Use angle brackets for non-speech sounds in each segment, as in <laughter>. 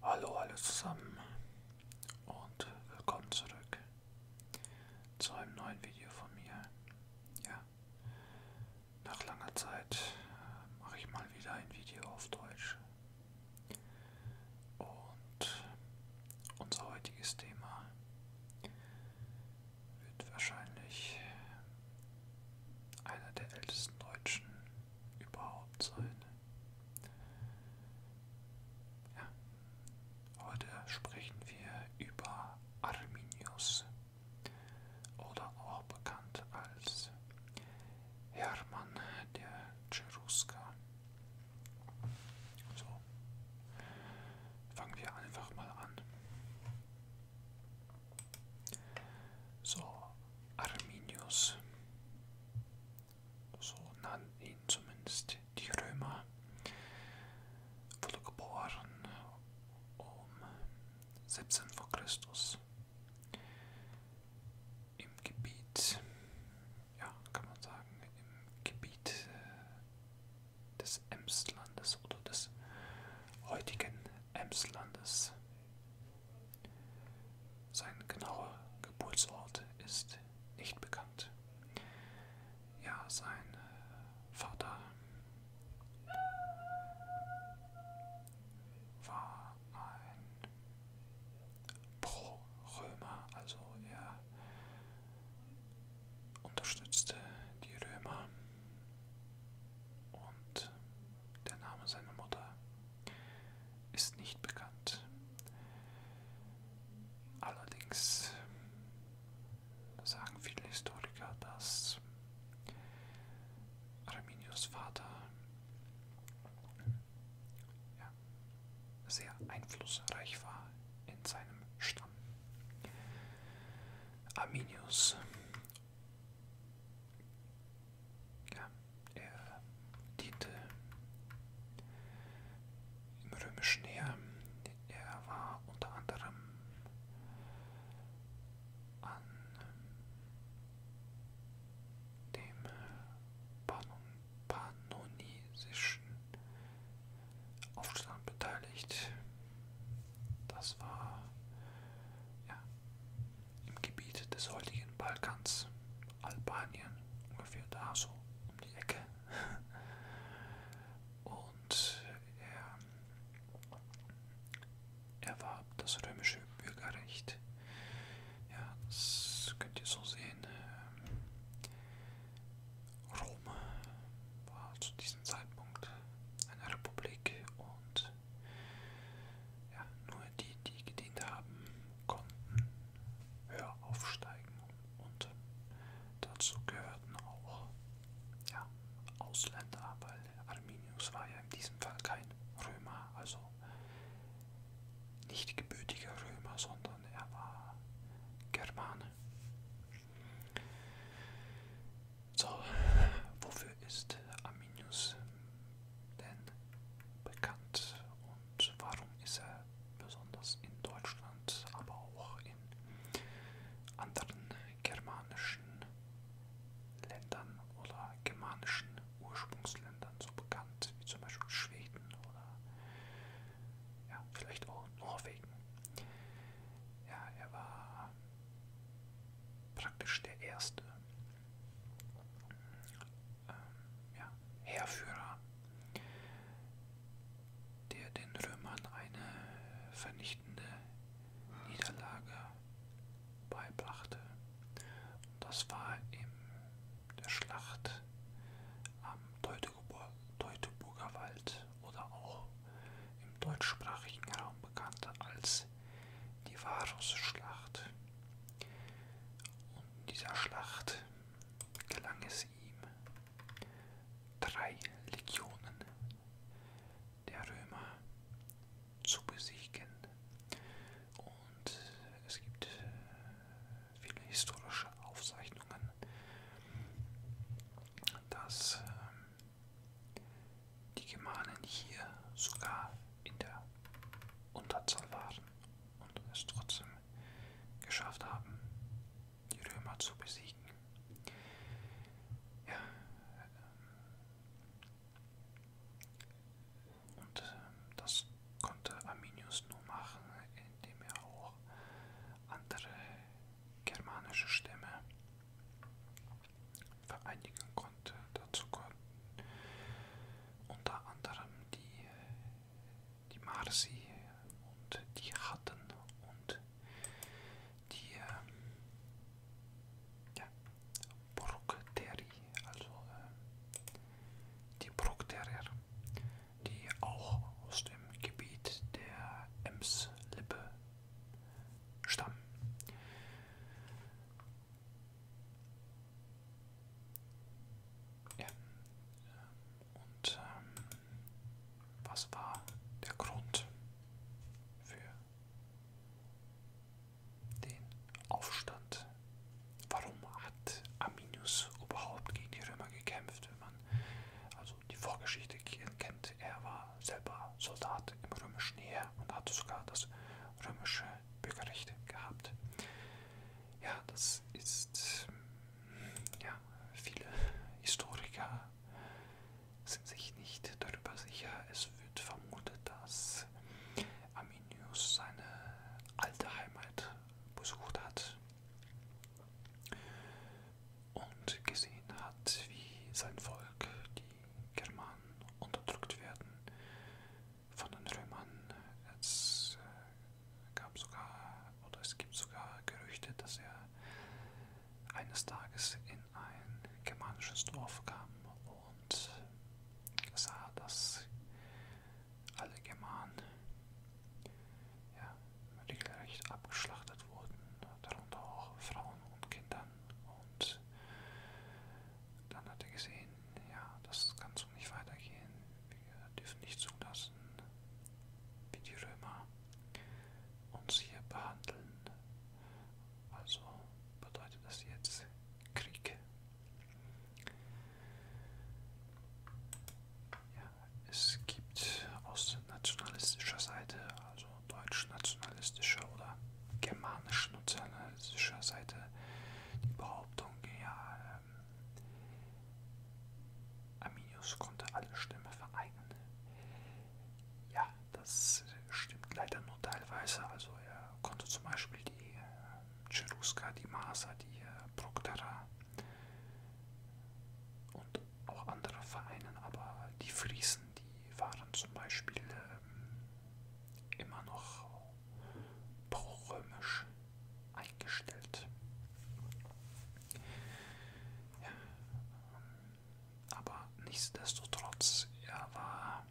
Hallo alle zusammen und willkommen zurück zu einem neuen Video von mir. Ja, nach langer Zeit äh, mache ich mal wieder ein Video auf Deutsch. Und unser heutiges Thema wird wahrscheinlich einer der ältesten deutschen überhaupt sein. Ja. Heute sprechen wir über Arminius oder auch bekannt als Hermann der Cherusker. So, fangen wir einfach mal an. So, Arminius. So nannten ihn zumindest die Römer. Wurde geboren um 17 vor Christus im Gebiet, ja, kann man sagen, im Gebiet äh, des Emslandes oder des heutigen Emslandes sein genauer Geburtsort ist nicht bekannt. Ja, sein äh, Vater war ein Pro-Römer, also er unterstützte die Römer und der Name seiner Mutter ist nicht bekannt. Allerdings sagen viele Historiker, dass Arminius Vater ja, sehr einflussreich war in seinem Stamm. Arminius ja, er diente im römischen Heer. Er war unter anderem an dem pannonisischen Aufstand beteiligt. Das war ja, im Gebiet des heutigen Balkans, Albanien, ungefähr da so um die Ecke. <laughs> Und er erwarb das römische Bürgerrecht. Ja, das könnt ihr so sehen. Rom war zu diesem Zeitpunkt eine Republik und ja, nur die, die gedient haben, konnten höher aufsteigen. Und dazu gehörten auch ja, Ausländer, weil Arminius war ja in diesem Fall kein Römer, also nicht gebürtiger Römer, sondern er war Germane. So, wofür ist Arminius denn bekannt und warum ist er besonders in Deutschland, aber auch in anderen germanischen Ländern oder germanischen Ursprungsländern so bekannt, wie zum Beispiel Schweden oder ja, vielleicht auch Norwegen? Ja, er war praktisch der erste ähm, ja, Heerführer, der den Römern eine vernichtende Niederlage beibrachte. Und das war in der Schlacht am Teutoburger Wald oder auch im deutschsprachigen Raum bekannt als es die Varusschlacht. Und in dieser Schlacht gelang es ihm, drei Legionen der Römer zu besiegen. Und es gibt äh, viele historische Aufzeichnungen, dass ähm, die Germanen hier sogar in der Unterzahl waren und es trotzdem geschafft haben, die Römer zu besiegen. Ja, ähm, und äh, das konnte Arminius nur machen, indem er auch andere germanische Stämme vereinigen konnte. Dazu konnten unter anderem die, die Marsi und die Hatten und die ähm, ja, Brukteri, also äh, die Brukterier, die auch aus dem Gebiet der Emslippe stammen. Ja. Und ähm, was war der Grund für den Aufstand? Warum hat Arminius überhaupt gegen die Römer gekämpft? Wenn man also so also die Vorgeschichte kennt. Er war selber Soldat im römischen Heer und hatte sogar das römische Bürgerrecht gehabt. Ja, das ist, ja, viele Historiker sind sich nicht darüber sicher. Es wird vermutet, dass Arminius seine alte Heimat besucht hat und gesehen hat, wie sein Volk, die Germanen, unterdrückt werden von den Römern. Es äh, gab sogar, oder es gibt sogar Gerüchte, dass er eines Tages in ein germanisches Dorf kam und sah, dass alle Germanen ja, regelrecht abgeschlachtet wurden, darunter auch Frauen und Kindern. Und dann hat er gesehen, ja, das kann so nicht weitergehen. Wir dürfen nicht zulassen, wie die Römer uns hier behandeln. Also bedeutet das jetzt Krieg. Ja, es gibt aus nationalistischer Seite, also deutsch-nationalistischer oder germanisch-nationalistischer Seite die Behauptung, ja, ähm, Arminius konnte alle Stimmen vereignen. Ja, das stimmt leider nur teilweise. Also er konnte zum Beispiel die äh, Cherusker, die Maser, die äh, Proctera, und auch andere Vereinen, aber die Friesen, die waren zum Beispiel ähm, immer noch pro-römisch eingestellt. Ja, ähm, aber nichtsdestotrotz, er war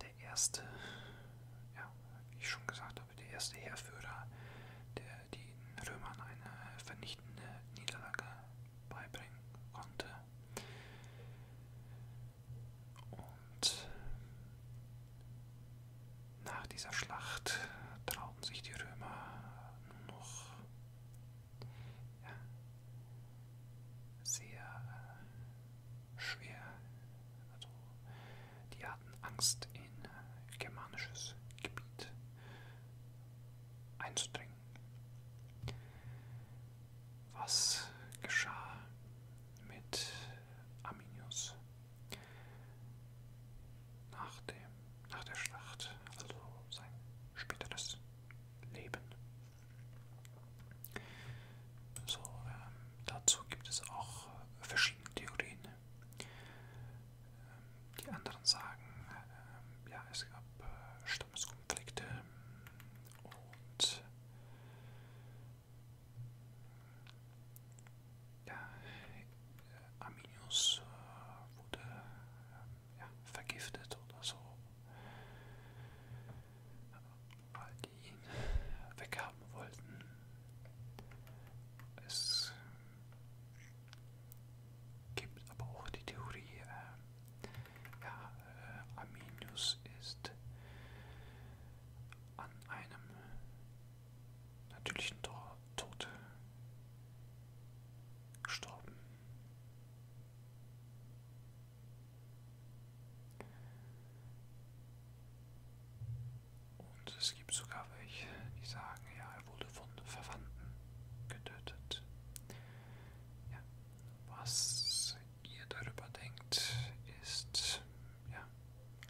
der erste, ja, wie ich schon gesagt habe, der erste Heerführer, der den Römern eine vernichtende Niederlage beibringen konnte. Und nach dieser Schlacht trauten sich die Römer nur noch ja, sehr äh, schwer. Also, die hatten Angst in germanisches Gebiet einzudringen. Was geschah mit Arminius nach, dem, nach der Schlacht, also sein späteres Leben? So, ähm, dazu gibt es auch verschiedene Theorien. Die anderen sagen, ähm, ja, es gab äh, Stammeskonflikte und ja, Arminius äh, wurde ähm, ja, vergiftet oder so, weil die ihn weghaben wollten. Es gibt aber auch die Theorie, äh, ja, äh, Arminius ist an einem natürlichen Tor Tod gestorben. Und es gibt sogar welche, die sagen, ja, er wurde von Verwandten getötet. Ja, was ihr darüber denkt, ist, ja,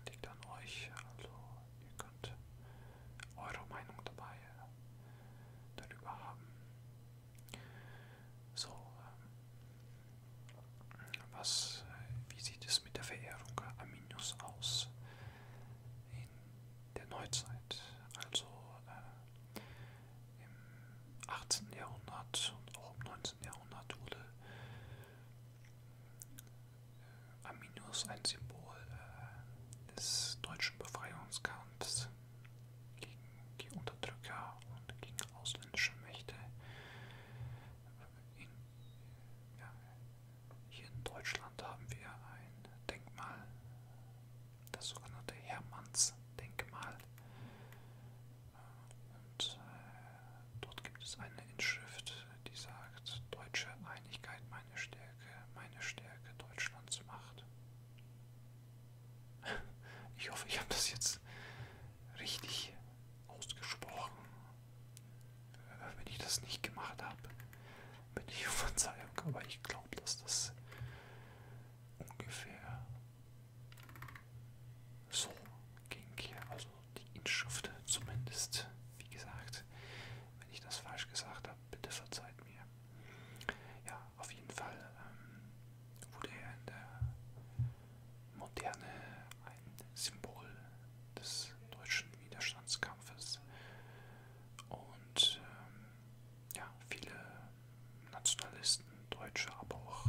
liegt an euch. Also ihr könnt eure Meinung dabei äh, darüber haben. So, ähm, was, äh, wie sieht es mit der Verehrung Arminius aus? in der Neuzeit, also äh, im 18. Jahrhundert und auch im 19. Jahrhundert wurde äh, Arminius ein Symbol äh, des deutschen Befreiungskampfs gegen die Unterdrücker und gegen ausländische Mächte in, ja, hier in Deutschland haben wir ein Denkmal, das sogenannte Hermannsdenkmal. Und äh, dort gibt es eine Inschrift, die sagt, deutsche Einigkeit meine Stärke, meine Stärke Deutschlands Macht. <laughs> Ich hoffe, ich habe das jetzt richtig ausgesprochen wenn ich das nicht gemacht habe, bin ich auf Verzeihung, aber ich glaube, dass das ungefähr so ging. Also die Inschrift zumindest, wie gesagt, wenn ich das falsch gesagt habe, bitte verzeiht mir. Ja, auf jeden Fall ähm, wurde er in der Moderne ein Symbol des deutschen Widerstandskampfes. Und ähm, ja, viele Nationalisten, Deutsche, aber auch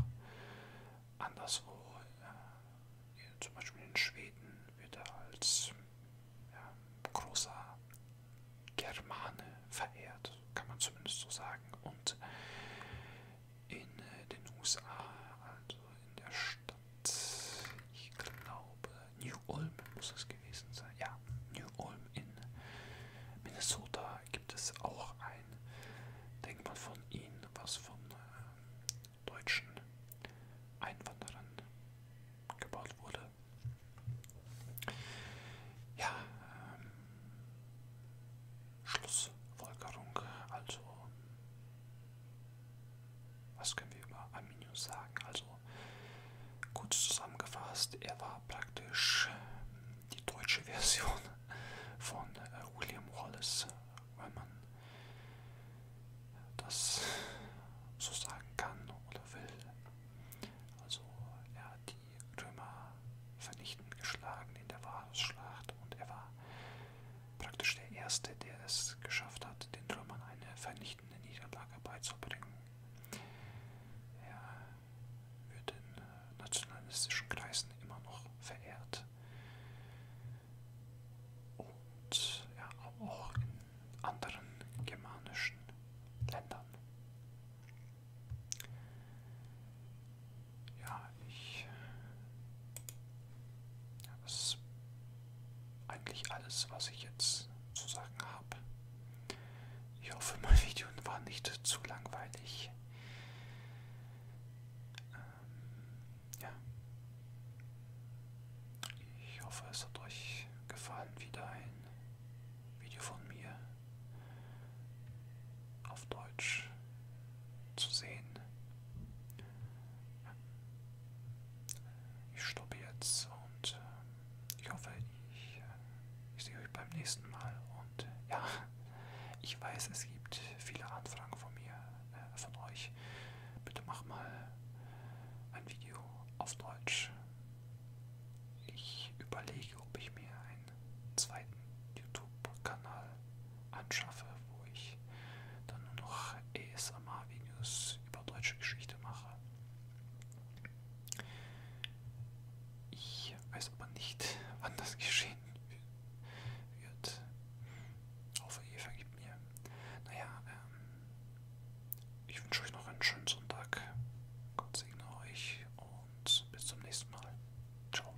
anderswo, äh, zum Beispiel in Schweden, wird er als ja, großer Germane verehrt, kann man zumindest so sagen. Und in äh, den USA, also in der Stadt, ich glaube, New Ulm muss es gewesen sein. Ja, New Ulm in Minnesota gibt es auch ein Denkmal von ihm, was von äh, deutschen Einwanderern gebaut wurde. Ja, ähm, Schlussfolgerung, also was können wir über Arminius sagen? Also kurz zusammengefasst, er war praktisch hm, die deutsche <laughs> Version von äh, William Wallace, wenn man das so sagen kann oder will. Also er hat die Römer vernichtend geschlagen in der Varusschlacht und er war praktisch der Erste, der es geschafft hat, den Römern eine vernichtende Niederlage beizubringen. Er wird in äh, nationalistischen Kreisen immer noch verehrt. Und ja, auch in anderen germanischen Ländern. Ja, ich das ist eigentlich alles, was ich jetzt zu sagen habe. Ich hoffe, mein <laughs> Video war nicht zu langweilig. Ähm, ja. Ich hoffe, es hat euch gefallen. Wieder ein Video von mir auf Deutsch zu sehen. Ich stoppe jetzt und ähm, ich hoffe, ich, äh, ich sehe euch beim nächsten Mal. Und äh, ja, <laughs> ich weiß, es gibt viele Anfragen von mir, äh, von euch. Bitte mach mal ein Video auf Deutsch. Ich überlege, ob ich mir einen zweiten YouTube-Kanal anschaffe, wo ich dann nur noch ESMR-Videos über deutsche Geschichte mache. Ich weiß aber nicht, wann das geschehen wird. Hoffe, ihr vergibt mir. Naja, ähm, ich wünsche euch noch einen schönen Sonntag. Gott segne euch und bis zum nächsten Mal. Ciao.